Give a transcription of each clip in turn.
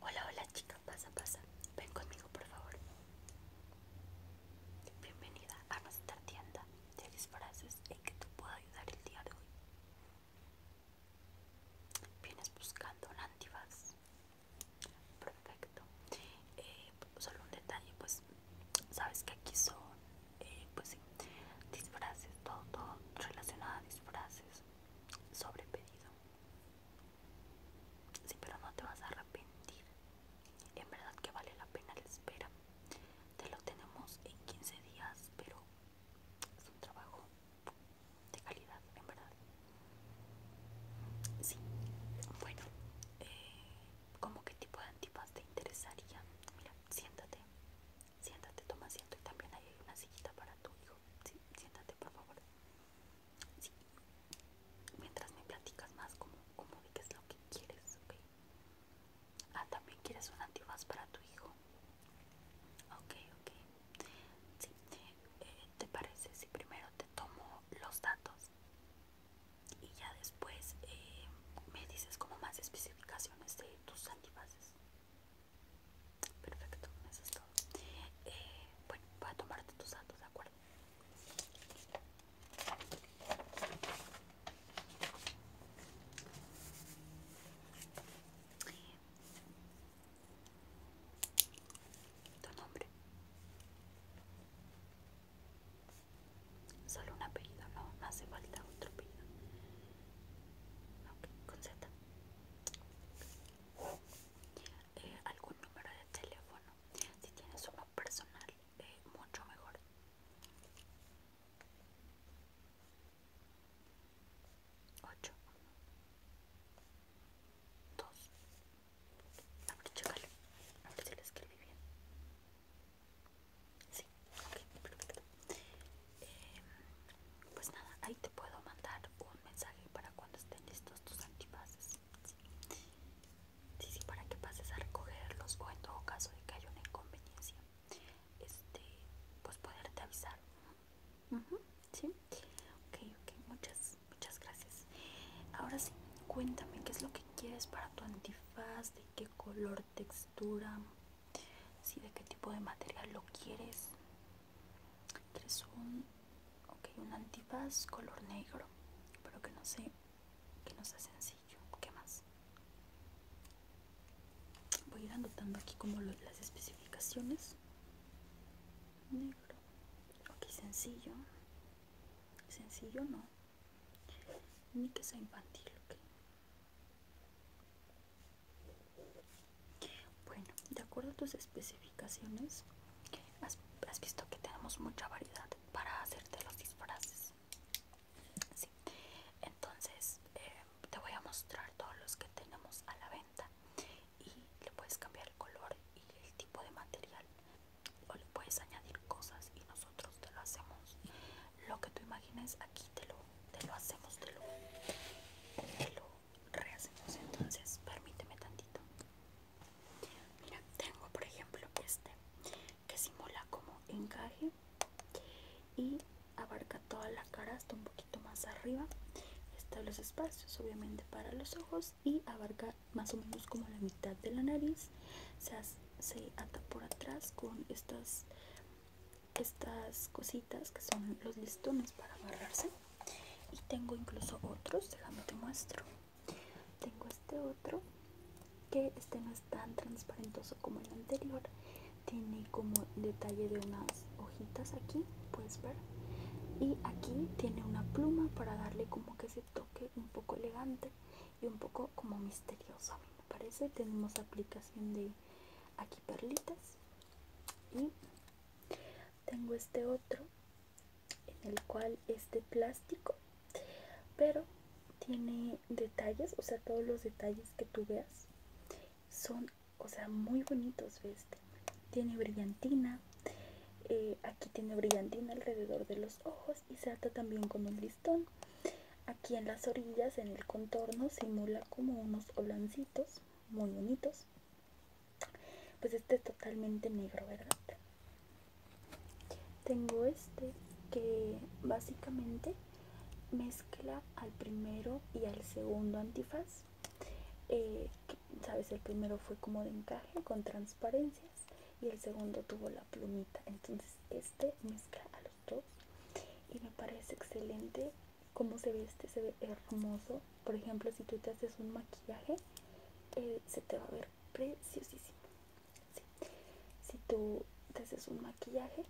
Hola, hola chicas pasa, pasa. Ven conmigo, por favor. Bienvenida a nuestra tienda de disfraces en que te puedo ayudar el día de hoy. ¿Vienes buscando un antifaz? Perfecto. Eh, solo un detalle, pues, sabes que aquí son, eh, pues disfraces, todo, todo relacionado a disfraces sobre pedido. Sí, pero no te vas a arrepentir. En verdad que vale la pena la espera. Te lo tenemos en 15 días, pero es un trabajo de calidad, en verdad. Sí, bueno, ¿como eh, ¿cómo qué tipo de antipas te interesaría? Mira, siéntate, siéntate, toma asiento y también hay una sillita para tu hijo siéntate, por favor. Sí. Mientras me platicas más como, como de es lo que quieres, Ah, también quieres un antifaz para tu hijo. Ok, ok. Sí. Eh, ¿Te parece si primero te tomo los datos? Y ya después eh, me dices como más especificaciones de tus antibases. Perfecto, eso es todo. Eh, bueno, voy a tomarte tus datos, ¿de acuerdo? Tu nombre. Solo un apellido, no, no hace falta otro apellido. Ok, con Z. Eh, algún número de teléfono si tienes uno personal eh, mucho mejor 8 2 a ver a ver si lo escribí bien sí ok perfecto eh, pues nada ahí te puedo mandar un mensaje para cuando estén listos tus antifazes Sí. para que pases a recogerlos o en todo caso de que haya una inconveniencia, este, pues poderte avisar. muchas, muchas gracias. Ahora sí, cuéntame qué es lo que quieres para tu antifaz, de qué color, textura, de qué tipo de material lo quieres tres un okay, un antifaz color negro pero que no sé que no sea sencillo qué más voy a ir anotando aquí como las especificaciones negro ok sencillo sencillo no ni que sea infantil bueno, de acuerdo a tus especificaciones, has, visto que tenemos mucha variedad para hacerte los disfraces. Entonces, eh, te voy a mostrar todos los que tenemos a la venta y le puedes cambiar el color y el tipo de material o le puedes añadir cosas y nosotros te lo hacemos. Lo que tú imagines aquí te lo, te lo hacemos, te lo rehacemos entonces permíteme tantito mira tengo por ejemplo este que simula como encaje y abarca toda la cara hasta un poquito más arriba está los espacios obviamente para los ojos y abarca más o menos como la mitad de la nariz se, se ata por atrás con estas estas cositas que son los listones para agarrarse y tengo incluso otros déjame te muestro tengo este otro que este no es tan transparentoso como el anterior tiene como detalle de unas hojitas aquí puedes ver y aquí tiene una pluma para darle como que se toque un poco elegante y un poco como misterioso me parece tenemos aplicación de aquí perlitas y tengo este otro en el cual es de plástico pero tiene detalles o sea todos los detalles que tú veas son o sea muy bonitos este tiene brillantina eh, aquí tiene brillantina alrededor de los ojos y se ata también con un listón aquí en las orillas en el contorno simula como unos holancitos muy bonitos pues este es totalmente negro, ¿verdad? Tengo este que básicamente mezcla al primero y al segundo antifaz. Eh, Sabes, el primero fue como de encaje con transparencias y el segundo tuvo la plumita. Entonces este mezcla a los dos y me parece excelente como se ve este se ve hermoso por ejemplo si tú te haces un maquillaje eh, se te va a ver preciosísimo si tú te haces un maquillaje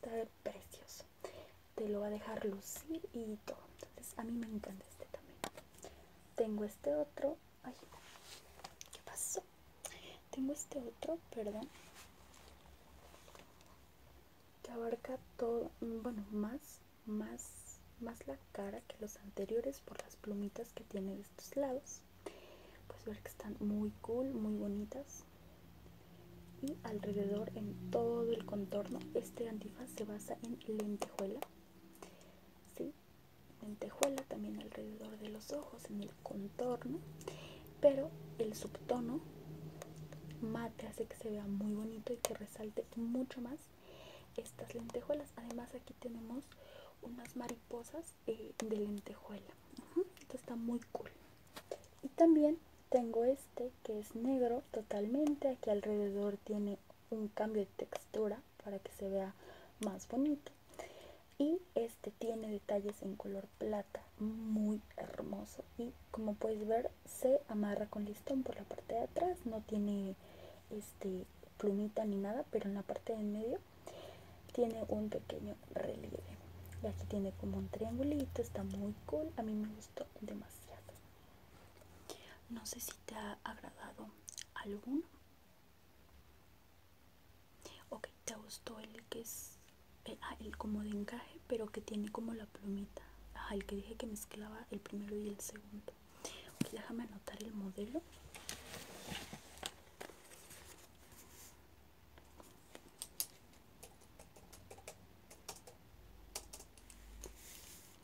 te va a ver precioso te lo va a dejar lucir y todo entonces a mí me encanta este también tengo este otro qué pasó tengo este otro perdón que abarca todo mm, bueno más más, más la cara que los anteriores por las plumitas que tiene de estos lados. Pues ver que están muy cool, muy bonitas. Y alrededor en todo el contorno, este antifaz se basa en lentejuela. Lentejuela también alrededor de los ojos, en el contorno. Pero el subtono mate hace que se vea muy bonito y que salte mucho más estas lentejuelas además aquí tenemos unas mariposas eh, de lentejuela está muy cool y también tengo este que es negro totalmente aquí alrededor tiene un cambio de textura para que se vea más bonito y este tiene detalles en color plata muy hermoso y como puedes ver se amarra con listón por la parte de atrás no tiene este plumita ni nada pero en la parte de en medio tiene un pequeño relieve y aquí tiene como un triangulito está muy cool a mí me gustó demasiado no sé si te ha agradado alguno ok te gustó el que es eh, ah, el como de encaje pero que tiene como la plumita Ajá, el que dije que mezclaba el primero y el segundo. déjame anotar el modelo.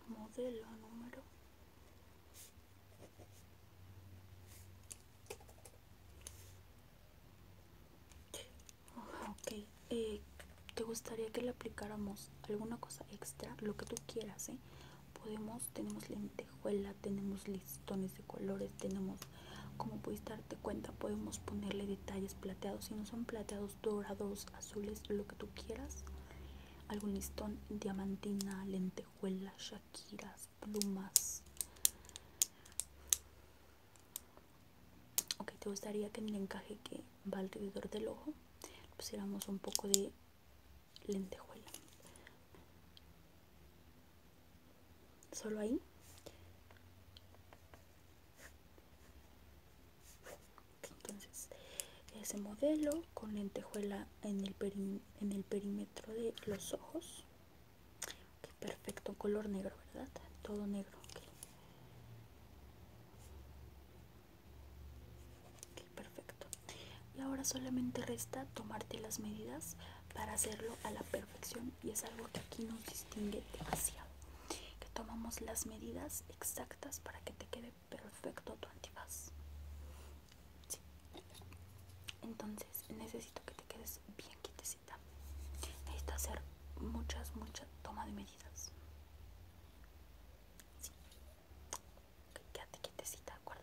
Modelo número. Ok, eh, ¿te gustaría que le aplicáramos alguna cosa extra? Lo que tú quieras, ¿eh? Podemos, tenemos lentejuela, tenemos listones de colores, tenemos, como puedes darte cuenta, podemos ponerle detalles plateados. Si no son plateados, dorados, azules, lo que tú quieras. Algún listón, diamantina, lentejuela, shakiras, plumas ok te gustaría que en el encaje que va alrededor del ojo pusiéramos un poco de lentejuela solo ahí entonces ese modelo con lentejuela en el, perímetro de los ojos perfecto color negro verdad todo negro perfecto. Y ahora solamente resta tomarte las medidas para hacerlo a la perfección y es algo que aquí nos distingue demasiado. Que tomamos las medidas exactas para que te quede perfecto tu antifaz. Entonces necesito que te quedes bien quietecita. Necesito hacer muchas, muchas toma de medidas. Sí. quédate quietecita, ¿de acuerdo?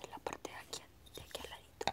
de la parte de aquí, al ladito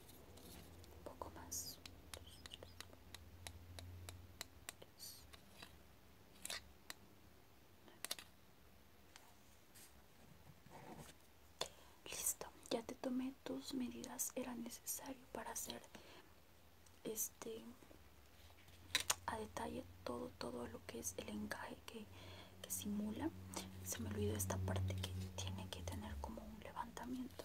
un poco más listo ya te tomé tus medidas era necesario para hacer este a detalle todo todo lo que es el encaje que, que simula se me olvidó esta parte que tiene que tener como un levantamiento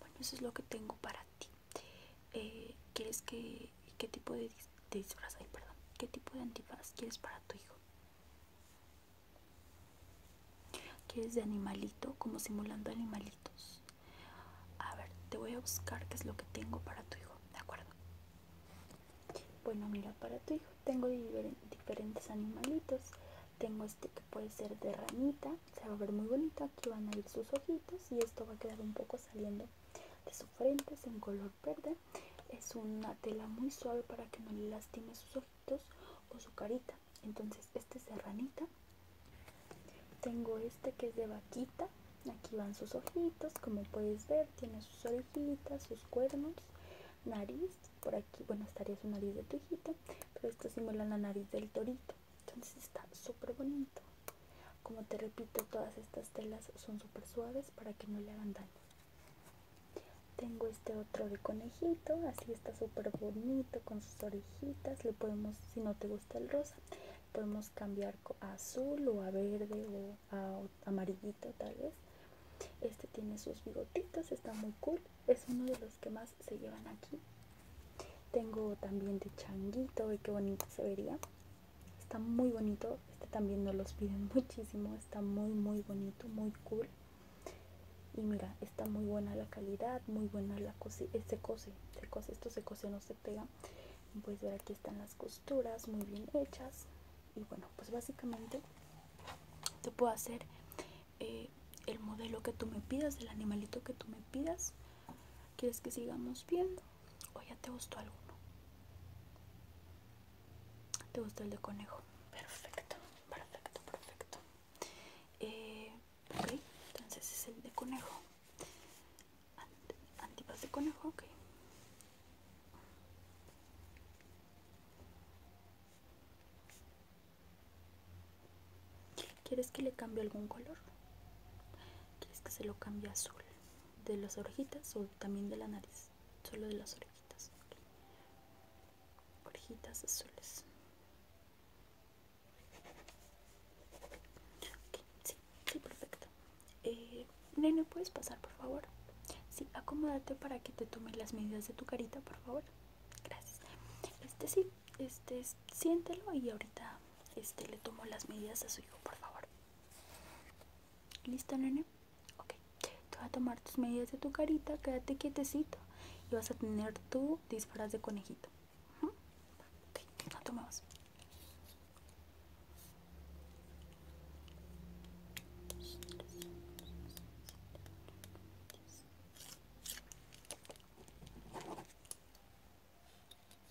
Bueno, eso es lo que tengo para ti. Eh, ¿Quieres que... ¿Qué tipo de, disfraz hay? Perdón. ¿Qué tipo de antifaz quieres para tu hijo? ¿Quieres de animalito? Como simulando animalitos. A ver, te voy a buscar qué es lo que tengo para tu hijo. ¿De acuerdo? Bueno, mira, para tu hijo tengo diferentes animalitos. Tengo este que puede ser de ranita se va a ver muy bonita, aquí van a ir sus ojitos y esto va a quedar un poco saliendo de su frente, es en color verde, es una tela muy suave para que no le lastime sus ojitos o su carita, entonces este es de ranita, tengo este que es de vaquita, aquí van sus ojitos, como puedes ver tiene sus orejitas, sus cuernos, nariz, por aquí, bueno estaría su nariz de tu hijita, pero esto simula la nariz del torito entonces está súper bonito como te repito todas estas telas son súper suaves para que no le hagan daño tengo este otro de conejito así está súper bonito con sus orejitas le podemos si no te gusta el rosa podemos cambiar a azul o a verde o a amarillito tal vez este tiene sus bigotitos está muy cool es uno de los que más se llevan aquí tengo también de changuito y qué bonito se vería. Está muy bonito. Este también no los piden muchísimo. Está muy, muy bonito, muy cool. Y mira, está muy buena la calidad, muy buena la cose. Eh, se cose, se cose, esto se cose, no se pega. Puedes ver aquí están las costuras muy bien hechas. Y bueno, pues básicamente te puedo hacer eh, el modelo que tú me pidas, el animalito que tú me pidas. ¿Quieres que sigamos viendo? ¿O ya te gustó alguno? ¿Te gustó el de conejo? Perfecto, perfecto, perfecto. Eh, entonces es el de conejo. antipas de conejo, ok. ¿Quieres que le cambie algún color? ¿Quieres que se lo cambie azul? ¿De las orejitas o también de la nariz? Solo de las orejitas. Orejitas azules. Ok, Sí, sí, perfecto. Eh, nene, ¿puedes pasar, por favor? Sí, acomódate para que te tome las medidas de tu carita, por favor. Gracias. Este sí, este, siéntelo y ahorita este, le tomo las medidas a su hijo, por favor. ¿Listo, nene? Ok, te voy a tomar tus medidas de tu carita, quédate quietecito y vas a tener tu disfraz de conejito. Ok, no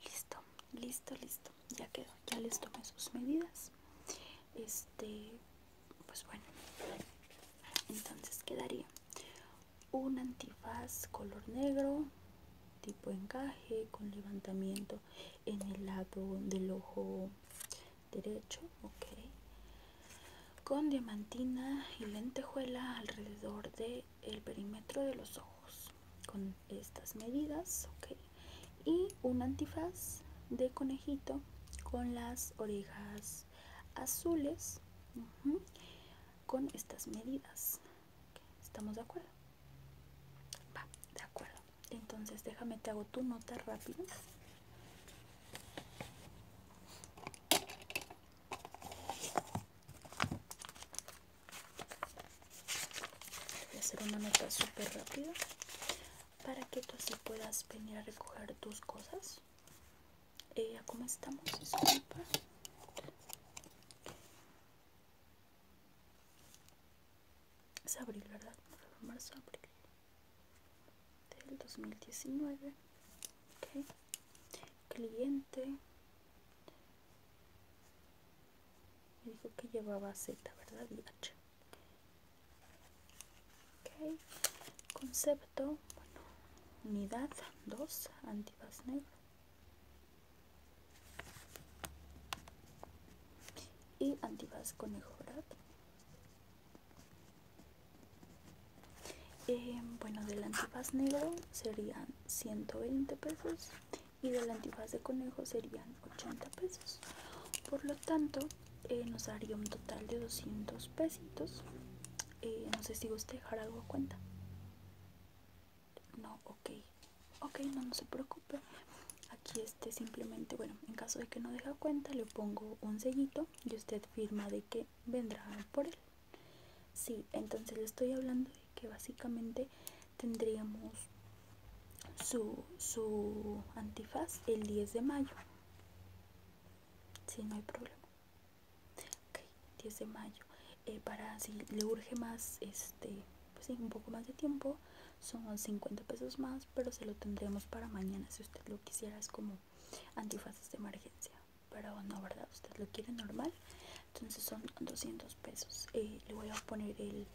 Listo, listo, listo. Ya quedó, ya les tomé sus medidas. Este, pues bueno. Entonces quedaría un antifaz color negro, tipo encaje, con levantamiento en el lado del ojo derecho, ok, con diamantina y lentejuela alrededor del perímetro de los ojos, con estas medidas, ok, y un antifaz de conejito con las orejas azules, con estas medidas, ¿estamos de acuerdo? Va, de acuerdo. Entonces déjame te hago tu nota rápido. Voy a hacer una nota súper rápida para que tú así puedas venir a recoger tus cosas. Eh, ¿Cómo estamos? Disculpa es abril, ¿verdad? marzo, abril del 2019. Okay. Cliente me dijo que llevaba Z, ¿verdad? Y H. ok, Concepto, bueno, unidad dos, antibas negro y antifaz conejo ¿verdad? Eh, bueno del antifaz negro serían 120 pesos y del antifaz de conejo serían 80 pesos por lo tanto eh, nos daría un total de 200 pesitos eh, no sé si guste dejar algo a cuenta no ok ok no, no se preocupe aquí este simplemente bueno en caso de que no deja cuenta le pongo un sellito y usted firma de que vendrá por él sí entonces le estoy hablando de que básicamente tendríamos su, su antifaz el 10 de mayo si no hay problema ok 10 de mayo eh, para si le urge más este pues un poco más de tiempo son 50 pesos más pero se lo tendremos para mañana si usted lo quisiera es como antifases de emergencia pero no verdad usted lo quiere normal entonces son 200 pesos eh, le voy a poner el,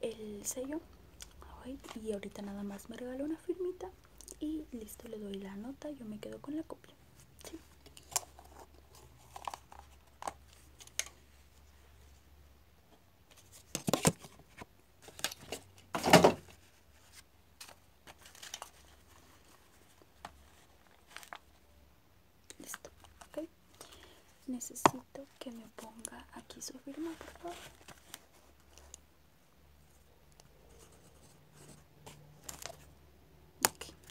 el sello y ahorita nada más me regalo una firmita y listo le doy la nota yo me quedo con la copia Listo, ok. Necesito que me ponga aquí su firma, por favor.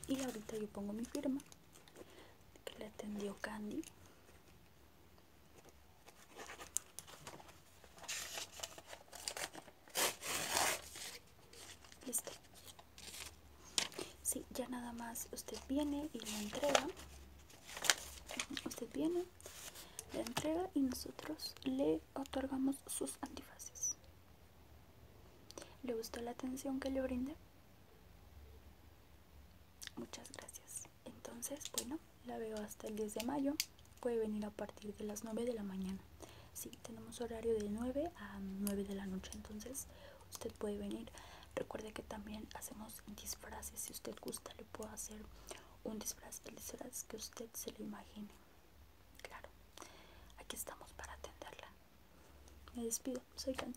Y ahorita yo pongo mi firma que le atendió Candy. Listo. Sí, ya nada más usted viene y le entrega. Usted viene, Le entrega y nosotros le otorgamos sus antifaces. ¿Le gustó la atención que le brindé? Muchas gracias entonces bueno la veo hasta el 10 de mayo puede venir a partir de las 9 de la mañana sí, tenemos horario de 9 a 9 de la noche entonces usted puede venir recuerde que también hacemos disfraces si usted gusta le puedo hacer un disfraz el disfraz que usted se le imagine claro aquí estamos para atenderla me despido soy Can